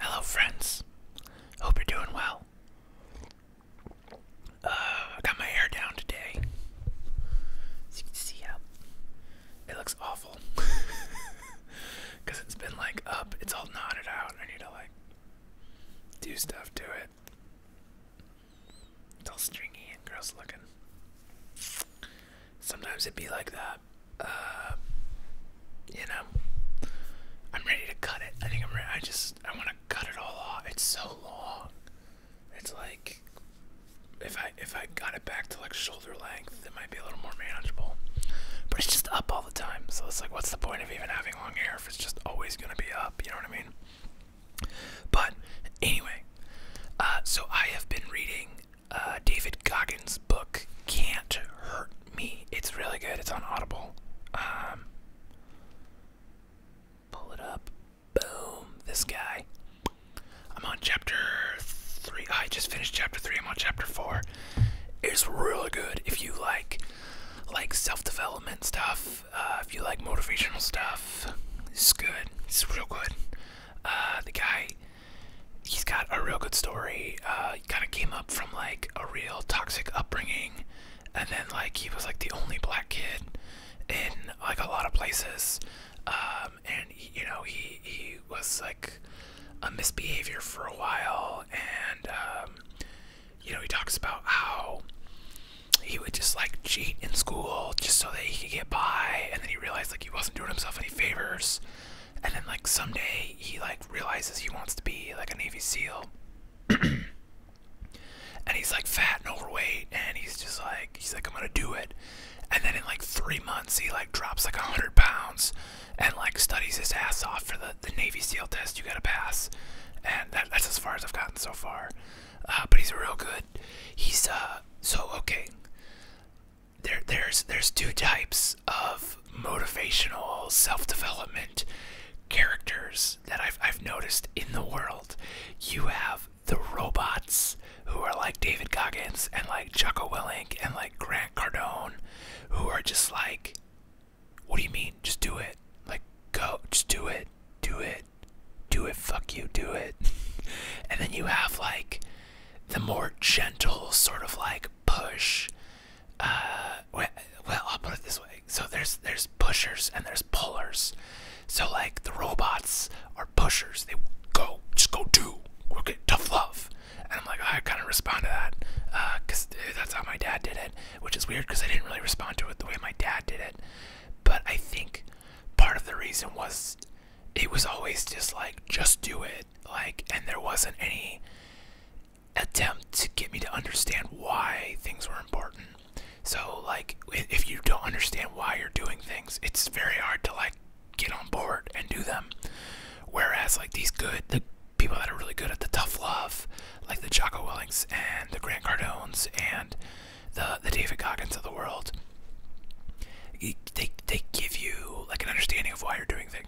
Hello, friends. Hope you're doing well. Uh, I got my hair down today. As you can see, yeah, it looks awful. Because it's been like up, it's all knotted out. I need to like do stuff to it. It's all stringy and gross looking. Sometimes it'd be like that uh, you know, I'm ready to cut it. I think I'm ready. I just, I want to cut it all off. It's so long. It's like, if I if I got it back to like shoulder length, it might be a little more manageable. But it's just up all the time, so it's like, what's the point of even having long hair if it's just always gonna be up? You know what I mean? But anyway, uh, so I have been reading uh, David Goggins' book, Can't Hurt Me. It's really good. It's on Audible. Um, pull it up. Boom. This guy. I'm on chapter three. I just finished chapter three. I'm on chapter four. It's really good if you like like self-development stuff. Uh, if you like motivational stuff, it's good. It's real good. Uh, the guy he's got a real good story. Uh, he kind of came up from like a real toxic upbringing, and then like he was like the only black kid in like a lot of places. Um, and you know he he was like a misbehavior for a while, and um, you know he talks about how he would just like cheat in school just so that he could get by, and then he realized like he wasn't doing himself any favors and then like someday he like realizes he wants to be like a Navy SEAL. and he's like fat and overweight and he's just like he's like I'm gonna do it. And then in like three months he like drops like a hundred pounds and like studies his ass off for the, the Navy SEAL test you gotta pass. And that's as far as I've gotten so far. Uh, but he's real good. He's uh so okay there there's there's two types of motivational self-development characters that I've I've noticed in the world. You have the robots who are like David Goggins and like Jocko Willink and like Grant Cardone who are just like what do you mean? Just do it. Like go just do it. Do it. Do it. Fuck you. Do it. and then you have like the more gentle sort of like push. Uh, well, I'll put it this way. So there's there's pushers and there's pullers. So like the robots are pushers. They go, just go do. we tough love. And I'm like, oh, I kind of respond to that because uh, that's how my dad did it, which is weird because I didn't really respond to it the way my dad did it. But I think part of the reason was it was always just like, just do it like and there wasn't any attempt to get me to understand why things were important so like if you don't understand why you're doing things it's very hard to like get on board and do them whereas like these good the people that are really good at the tough love like the jocko willings and the grant cardones and the the david goggins of the world they, they give you like an understanding of why you're doing things.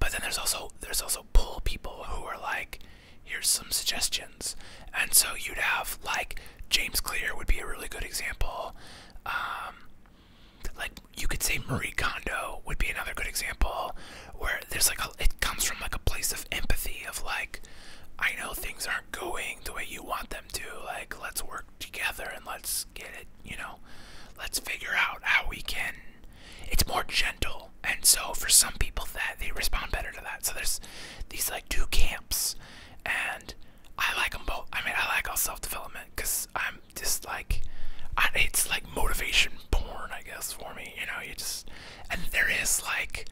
But then there's also there's also pull people who are like, here's some suggestions. And so you'd have like James Clear would be a really good example. Um, like you could say Marie Kondo would be another good example where there's like it comes from like a place of empathy of like I know things aren't going the way you want them to like let's work together and let's get it you know, let's figure out how we can. It's more gentle, and so for some people that they respond better to that. So there's these like two camps, and I like them both. I mean, I like all self-development because I'm just like, it's like motivation born, I guess, for me. You know, you just and there is like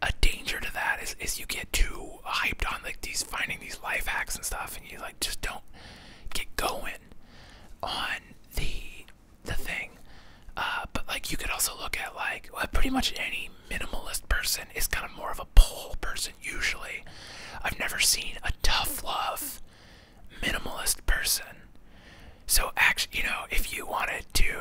a danger to that is is you get too hyped on like these finding these life hacks and stuff, and you like just don't get going on the the thing. Uh, but like you could also look at like pretty much any minimalist person is kind of more of a pole person usually. I've never seen a tough love minimalist person. So actually, you know, if you wanted to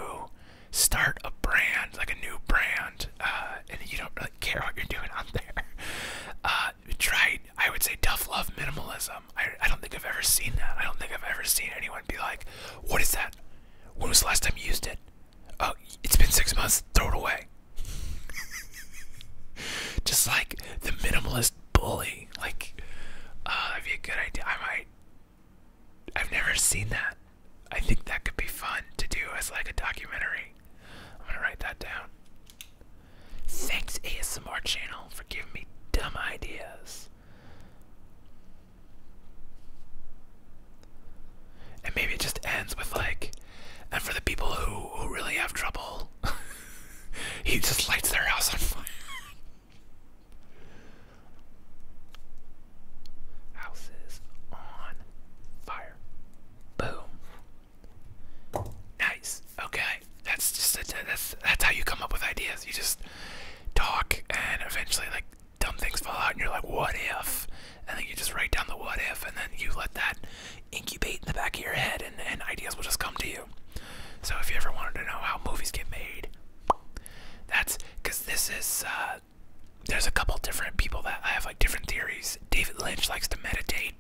start a brand like a new brand, uh, and you don't really care what you're doing out there, uh, tried, I would say, tough love minimalism. I, I don't think I've ever seen that. I don't think I've ever seen anyone be like, what is that? When was the last time you used it? Oh, it's been six months. Throw it away. Just like the minimalist bully. Like, oh, that'd be a good idea. I might. I've never seen that. I think that could be fun to do as like a documentary. I'm gonna write that down. Thanks, ASMR channel, for giving me dumb ideas. And maybe it just ends with like, and for the people who, who really have trouble, he just lights their house on fire. Houses on fire. Boom. Nice. Okay, that's just that's that's how you come up with ideas. You just talk, and eventually, like dumb things fall out, and you're like, "What if?" And then you just write down the "what if," and then you let that incubate in the back of your head, and, and ideas will just come to you. So if you ever wanted to know how movies get made, that's because this is. Uh, there's a couple different people that I have like different theories. David Lynch likes to meditate.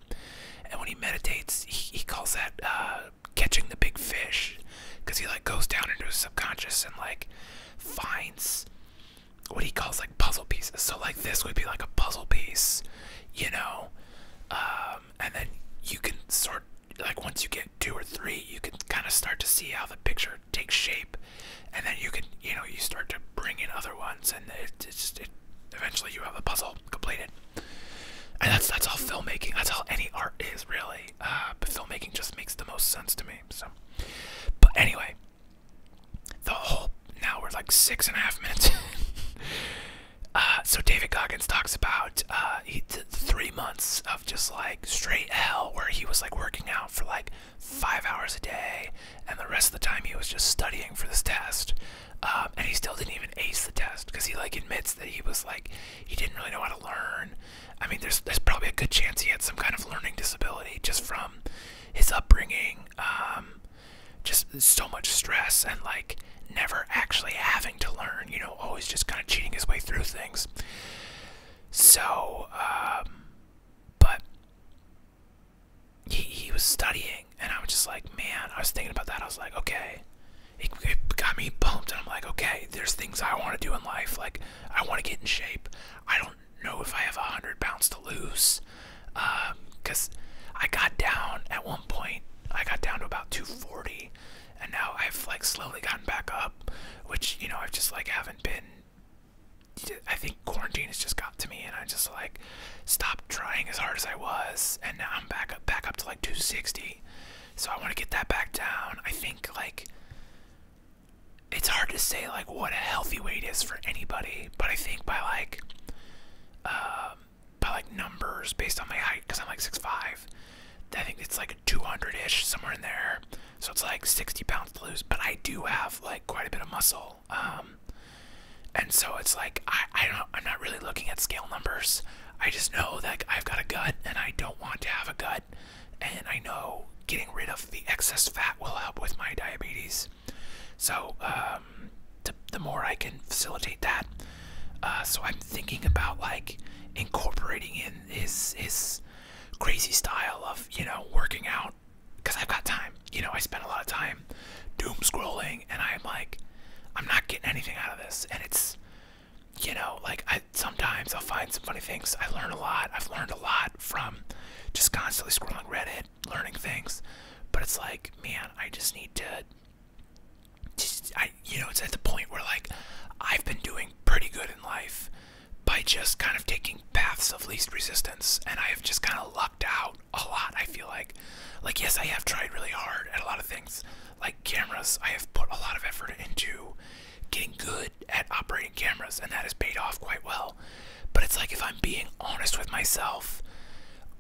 And when he meditates, he, calls that uh, catching the big fish, because he like goes down into his subconscious and like finds what he calls like puzzle pieces. So like this would be like a puzzle piece, you know, um, and then you can sort like once you get two or three, you can kind of start to see how the picture takes shape, and then you can you know you start to bring in other ones, and it, it it eventually you have the puzzle completed. And that's that's all filmmaking. That's all any art is really. Uh, but filmmaking just makes the most sense to me. So, but anyway, the whole now we're like six and a half minutes. Uh, so David Goggins talks about uh, he did three months of just like straight hell, where he was like working out for like five hours a day, and the rest of the time he was just studying for this test. Um, and he still didn't even ace the test because he like admits that he was like he didn't really know how to learn. I mean, there's there's probably a good chance he had some kind of learning disability just from his upbringing, um, just so much stress and like never actually having to learn. You know, always just kind of cheating his way through things. So, um, but he he was studying and I was just like, man, I was thinking about that. I was like, okay, it, got me pumped. And I'm like, okay, there's things I want to do in life. Like, I want to get in shape. I don't know if I have a 100 pounds to lose. Because um, I got down at one point, I got down to about 240. And now I've like slowly gotten back up, which, you know, I've just like haven't been. I think quarantine has just got to me, and I just like Stop trying as hard as I was, and now I'm back up, back up to like 260. So I want to get that back down. I think like it's hard to say like what a healthy weight is for anybody, but I think by like um, by like numbers based on my height, because I'm like 6'5", I think it's like 200-ish somewhere in there. So it's like 60 pounds to lose, but I do have like quite a bit of muscle. Um, and so it's like I, I don't I'm not really looking at scale numbers. I just know that I've got a gut and I don't want to have a gut. And I know getting rid of the excess fat will help with my diabetes. So um, the, more I can facilitate that. Uh, so I'm thinking about like incorporating in his his crazy style of you know working out because I've got time. You know I spend a lot of time doom scrolling and I'm like I'm not getting anything out of this and it's you know like I sometimes I'll find some funny things I learn a lot I've learned a lot from just constantly scrolling Reddit learning things but it's like man I just need to just I you know it's at the point where like I've been doing pretty good in life by just kind of taking paths of least resistance and I have just kind of lucked out a lot. I feel like, like yes, I have tried really hard at a lot of things, like cameras. I have put a lot of effort into getting good at operating cameras, and that has paid off quite well. But it's like if I'm being honest with myself,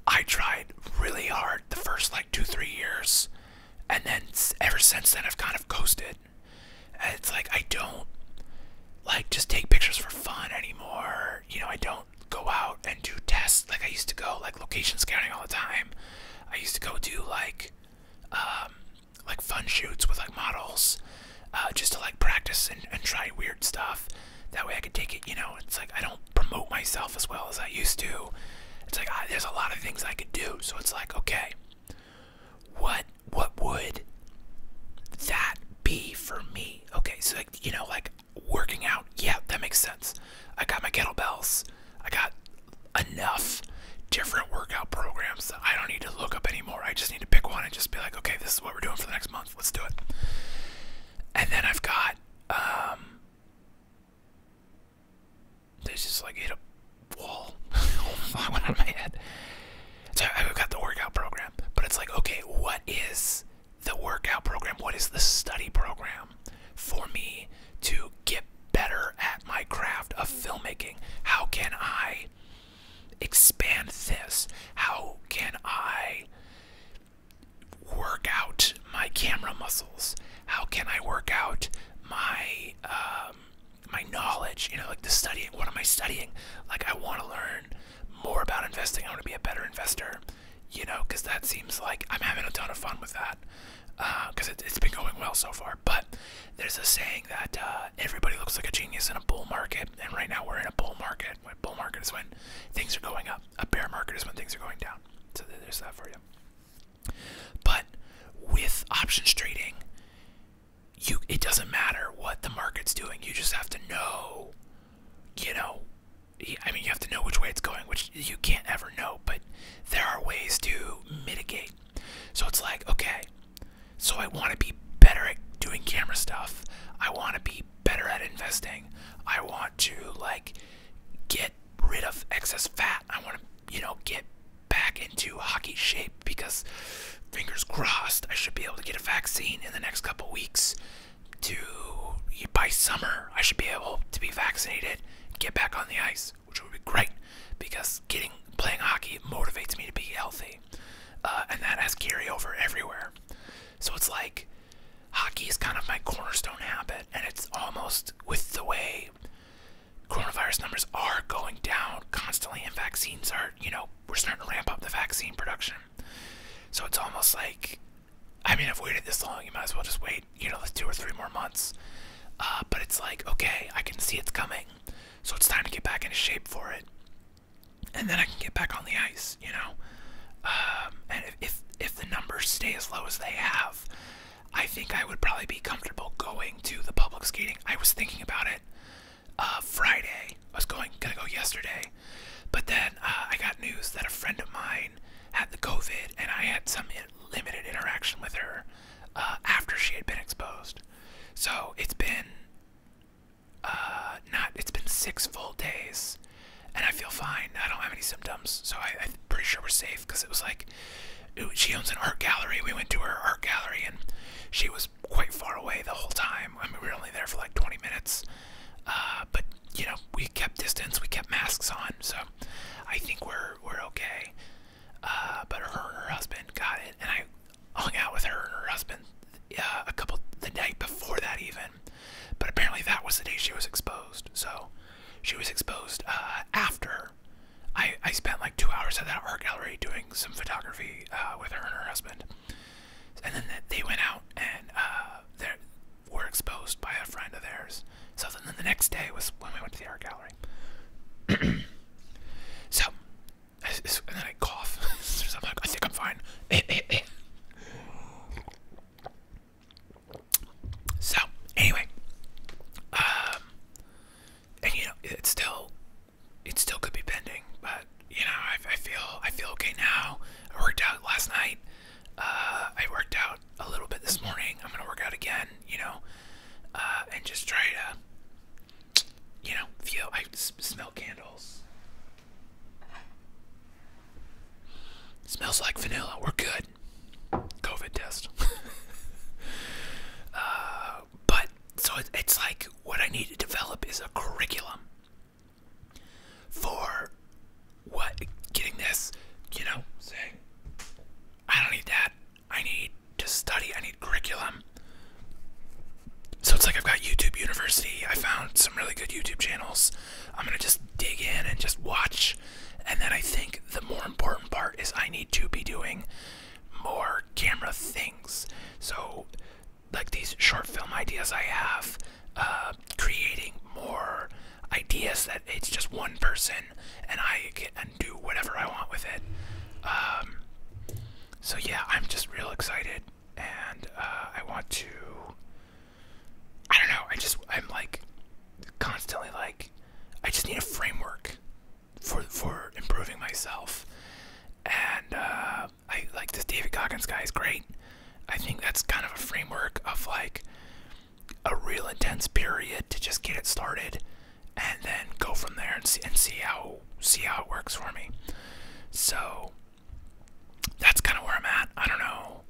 I tried really hard the first like two, three years, and then ever since then I've kind of coasted. it's like I don't like just take pictures for fun anymore. You know, I don't go out and do tests like I used to go, like location scouting all the time. I used to go do like, um, like fun shoots with like models, uh, just to like practice and, try weird stuff. That way I could take it. You know, it's like I don't promote myself as well as I used to. It's like there's a lot of things I could do. So it's like, okay, what what would that be for me? Okay, so like you know, like working out. Yeah, that makes sense. I got my kettlebells. I got enough different workout programs I don't need to look up anymore. I just need to pick one and just be like, okay, this is what we're doing for the next month. Let's do it. And then I've got, um, this is like hit a wall. I went out of my head. So I've got the workout program, but it's like, okay, what is the workout program? What is the study program for me to get better at my craft of filmmaking? How can I expand this? How can I work out my camera muscles? How can I work out my um, my knowledge? You know, like the studying. What am I studying? Like I want to learn more about investing. I want to be a better investor you know, because that seems like I'm having a ton of fun with that because uh, it, has been going well so far. But there's a saying that uh, everybody looks like a genius in a bull market, and right now we're in a bull market. When bull market is when things are going up, a bear market is when things are going down. So there's that for you. But with options trading, you it doesn't matter what the market's doing. You just have to know, you know, I mean, you have to know which way it's going, which you can't ever know, but there are ways to mitigate. So it's like, okay, so I want to be better at doing camera stuff. I want to be better at investing. I want to, like, get rid of excess fat. I want to, you know, get back into hockey shape because fingers crossed, I should be able to get a vaccine in the next couple weeks to by summer, I should be able to be vaccinated, get back on the ice, which would be great because getting playing hockey motivates me to be healthy, uh, and that has over everywhere. So it's like hockey is kind of my cornerstone habit, and it's almost with the way coronavirus numbers are going down constantly, and vaccines are, you know, we're starting to ramp up the vaccine production. So it's almost like I mean, I've waited this long. You might as well just wait, you know, two or three more months. Uh, but it's like, okay, I can see it's coming. So it's time to get back into shape for it. And then I can get back on the ice, you know? Um, and if, if the numbers stay as low as they have, I think I would probably be comfortable going to the public skating. I was thinking about it uh, Friday. I was going, gonna go yesterday. But then uh, I got news that a friend of mine had the COVID, and I had some limited interaction with her uh, after she had been exposed. So it's been uh, not it's been six full days, and I feel fine. I don't have any symptoms, so I, am pretty sure we're safe. Because it was like she owns an art gallery. We went to her art gallery, and she was quite far away the whole time. I mean, we were only there for like 20 minutes, uh, but you know, we kept distance, we kept masks on, so I think we're we're okay. Uh, but her and her husband got it, and I hung out with her and her husband uh, a couple the night before that even. But apparently that was the day she was exposed. So she was exposed after. I I spent like two hours at that art gallery doing some photography with her and her husband, and then they went out and they're were exposed by a friend of theirs. So then the next day was when we went to the art gallery. so, and then I cough. i think I'm fine. so, anyway, um, and you know, it's still, it still could be pending, but you know, I, feel, I feel okay now. I worked out last night. Uh, I worked out a little bit this morning. I'm gonna work out again, you know, uh, and just try to, you know, feel. I smell candles. Smells like vanilla. We're good. COVID test. uh, but so it's like what I need to develop is a curriculum for what getting this, you know, saying I don't need that. I need to study. I need curriculum. So it's like I've got YouTube University. I found some really good YouTube channels. I'm going to just dig in and just watch. And then I think the more important part is I need to be doing more camera things. So, like these short film ideas I have, uh, creating more ideas that it's just one person and I can do whatever I want with it. Um, so yeah, I'm just real excited and uh, I want to. I don't know. I just I'm like constantly like I just need a framework for for improving myself. And uh, I like this David Goggins guy is great. I think that's kind of a framework of like a real intense period to just get it started and then go from there and see how see how it works for me. So that's kind of where I'm at. I don't know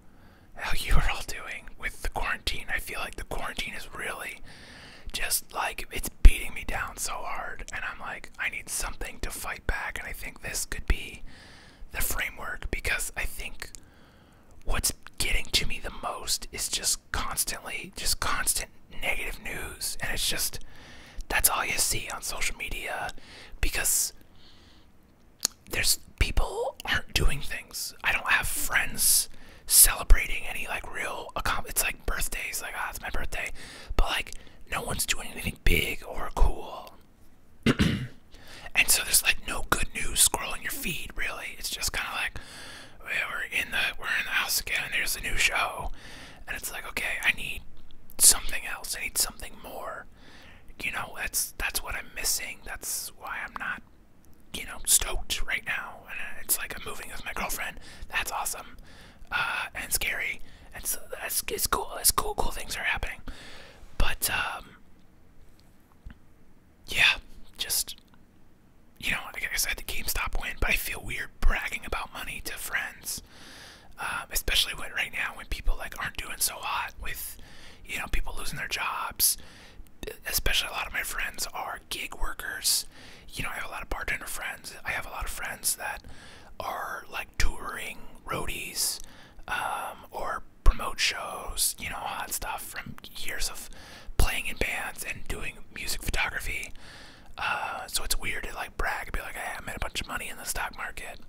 how you are all doing with the quarantine. I feel like the quarantine is really just like it's beating me down so hard and I'm like I need something to fight back and I think this could be the framework because I think what's getting to me the most is just constantly just constant negative news and it's just that's all you see on social media because there's people aren't doing things i don't have friends celebrating any like real it's like birthdays like ah it's my birthday but like no one's doing anything big or cool and so there's like no good news scrolling your feed really. It's just kind of like we're in the we're in the house again there's a new show, and it's like okay, I need something else. I need something more. You know, that's that's what I'm missing. That's why I'm not you know stoked right now. And uh, it's like I'm moving with my girlfriend. That's awesome uh, and scary. And so that's it's cool. It's cool. Cool things are happening, but um, yeah, just you know, like I said, the GameStop win, but I feel weird bragging about money to friends, um, especially when right now when people like aren't doing so hot with you know people losing their jobs. Especially a lot of my friends are gig workers. You know, I have a lot of bartender friends. I have a lot of friends that are like touring roadies um, or promote shows, you know, hot stuff from years of playing in bands and doing music photography. Uh, so it's weird to like brag and be like, hey, I made a bunch of money in the stock market,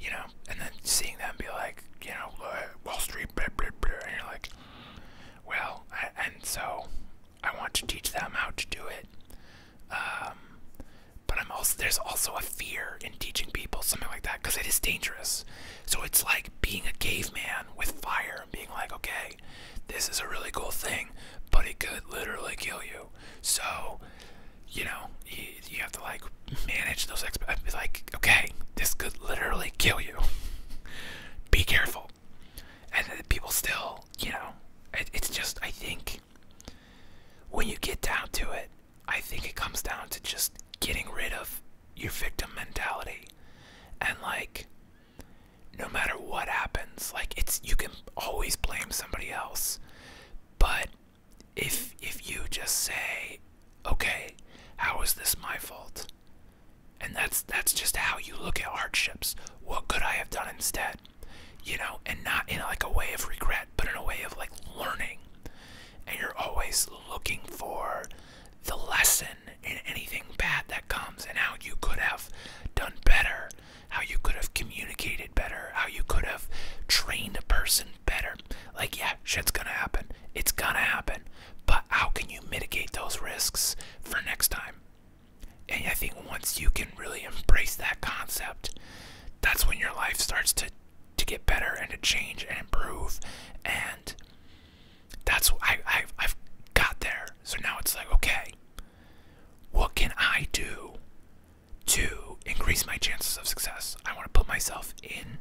you know, and then seeing them be like, you know, Wall Street, blah, blah, blah, and you're like, well, and so I want to teach them how to do it. Um, but I'm also, there's also a fear in teaching people something like that because it is dangerous. So it's like being a caveman with fire and being like, okay, this is a really cool thing, but it could literally kill you. So, you know, you, have to like manage those expectations. Like, okay, this could literally kill you. Be careful. And people still, you know, it's just, I think when you get down to it, I think it comes down to just getting rid of your victim mentality. And like no matter what happens, like it's you can always blame somebody else. But if if you just say, "Okay, how is this my fault?" And that's that's just how you look at hardships. What could I have done instead? You know, and not in like a way of regret, but in a way of like learning and you're always looking for the lesson in anything bad that comes and how you could have done better, how you could have communicated better, how you could have trained a person better. Like, yeah, shit's gonna happen. It's gonna happen. But how can you mitigate those risks for next time? And I think once you can really embrace that concept, that's when your life starts to to get better and to change and improve and that's I, I have got there. So now it's like okay, what can I do to increase my chances of success? I want to put myself in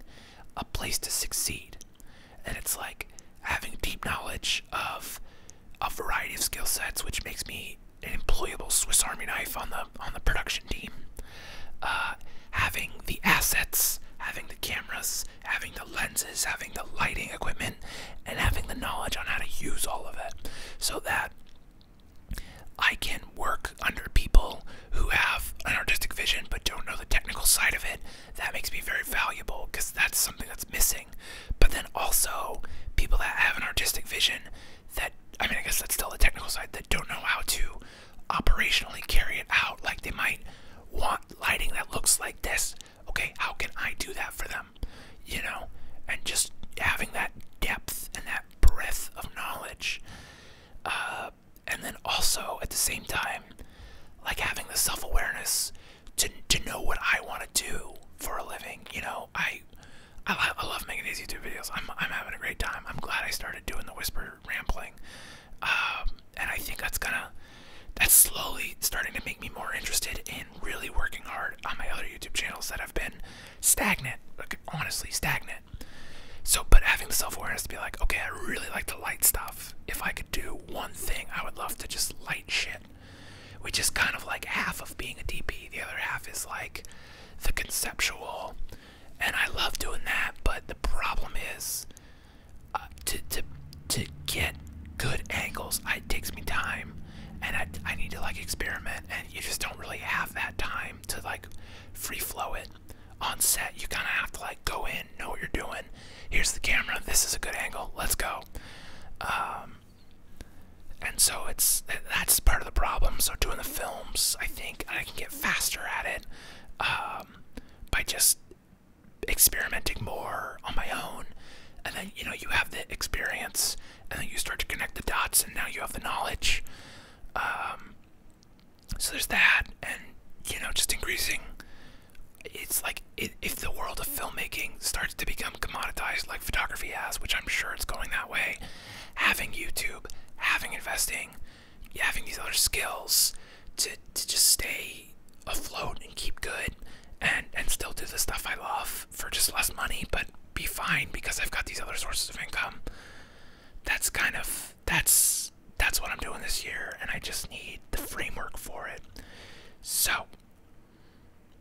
a place to succeed. And it's like having deep knowledge of a variety of skill sets, which makes me an employable Swiss Army knife on the on the production team. Uh, having the assets, having the cameras, having the lenses, having the lighting equipment, and having the knowledge on how to use all of it so that I can work under people who have an artistic vision but don't know the technical side of it. That makes me very valuable because that's something that's missing. But then also, people that have an artistic vision that, I mean, I guess that's still the technical side, that don't know how to operationally carry it out. Like they might want lighting that looks like this. Okay, how can I do that for them? You know, and just having that depth and that breadth of knowledge. Uh, and then also at the same time, like having the self awareness to, to know what I want to do for a living. You know, I. I love, I love making these YouTube videos. I'm, I'm having a great time. I'm glad I started doing the whisper rambling. Um, and I think that's gonna that's slowly starting to make me more interested in really working hard on my other YouTube channels that have been stagnant, like honestly stagnant. So, but having the self awareness to be like, okay, I really like the light stuff. If I could do one thing, I would love to just light shit, which is kind of like half of being a DP. The other half is like the conceptual, and I love doing that. But the problem is, uh, to to to get good angles. it takes me time, and I I need to like experiment, and you just don't really have that time to like free flow it on set. You kind of have to like go in, know what you're doing. Here's the camera. This is a good angle. Let's go. Um, and so it's that's part of the problem. So doing the films, I think I can get faster at it. Um, by just experimenting more on my own and then you know you have the experience and then you start to connect the dots and now you have the knowledge um, so there's that and you know just increasing it's like if the world of filmmaking starts to become commoditized like photography has which i'm sure it's going that way having youtube having investing having these other skills to to just stay afloat and keep good and and still do the stuff I love for just less money but be fine because I've got these other sources of income. That's kind of that's that's what I'm doing this year and I just need the framework for it. So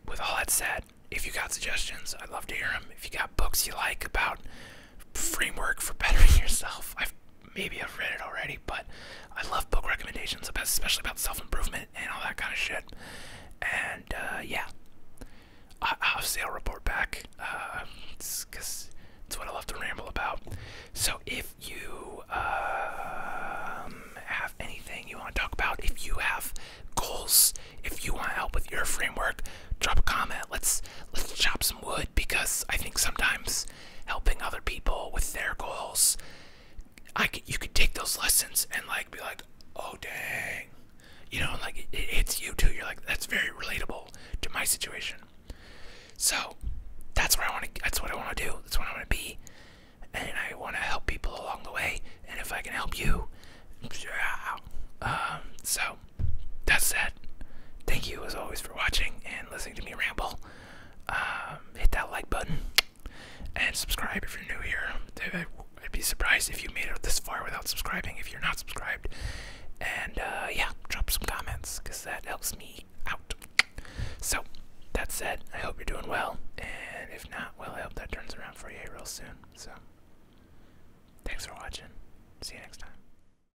with all that said, if you got suggestions, I'd love to hear them. If you got books you like about framework for bettering yourself. I've maybe I've read it already, but I love book recommendations, especially about self-improvement and all that kind of shit. And uh, yeah, I will obviously I'll report back because uh, it's, what I love to ramble about. So if you um, have anything you want to talk about, if you have goals, if you want help with your framework, drop a comment. Let's let's chop some wood because I think sometimes helping other people with their goals. I could, you could take those lessons and like be like, oh dang, you know, like it, hits you too. You're like, that's very relatable to my situation. So that's what I want to. That's what I want to do. That's what I want to be, and I want to help people along the way. And if I can help you, yeah. Um, so that's it. Thank you as always for watching and listening to me ramble. Um, hit that like button and subscribe if you're new here. I'd be surprised if you made it this far without subscribing if you're not subscribed. And uh, yeah, drop some comments because that helps me out. So, that said, I hope you're doing well. And if not, well, I hope that turns around for you real soon. So, thanks for watching. See you next time.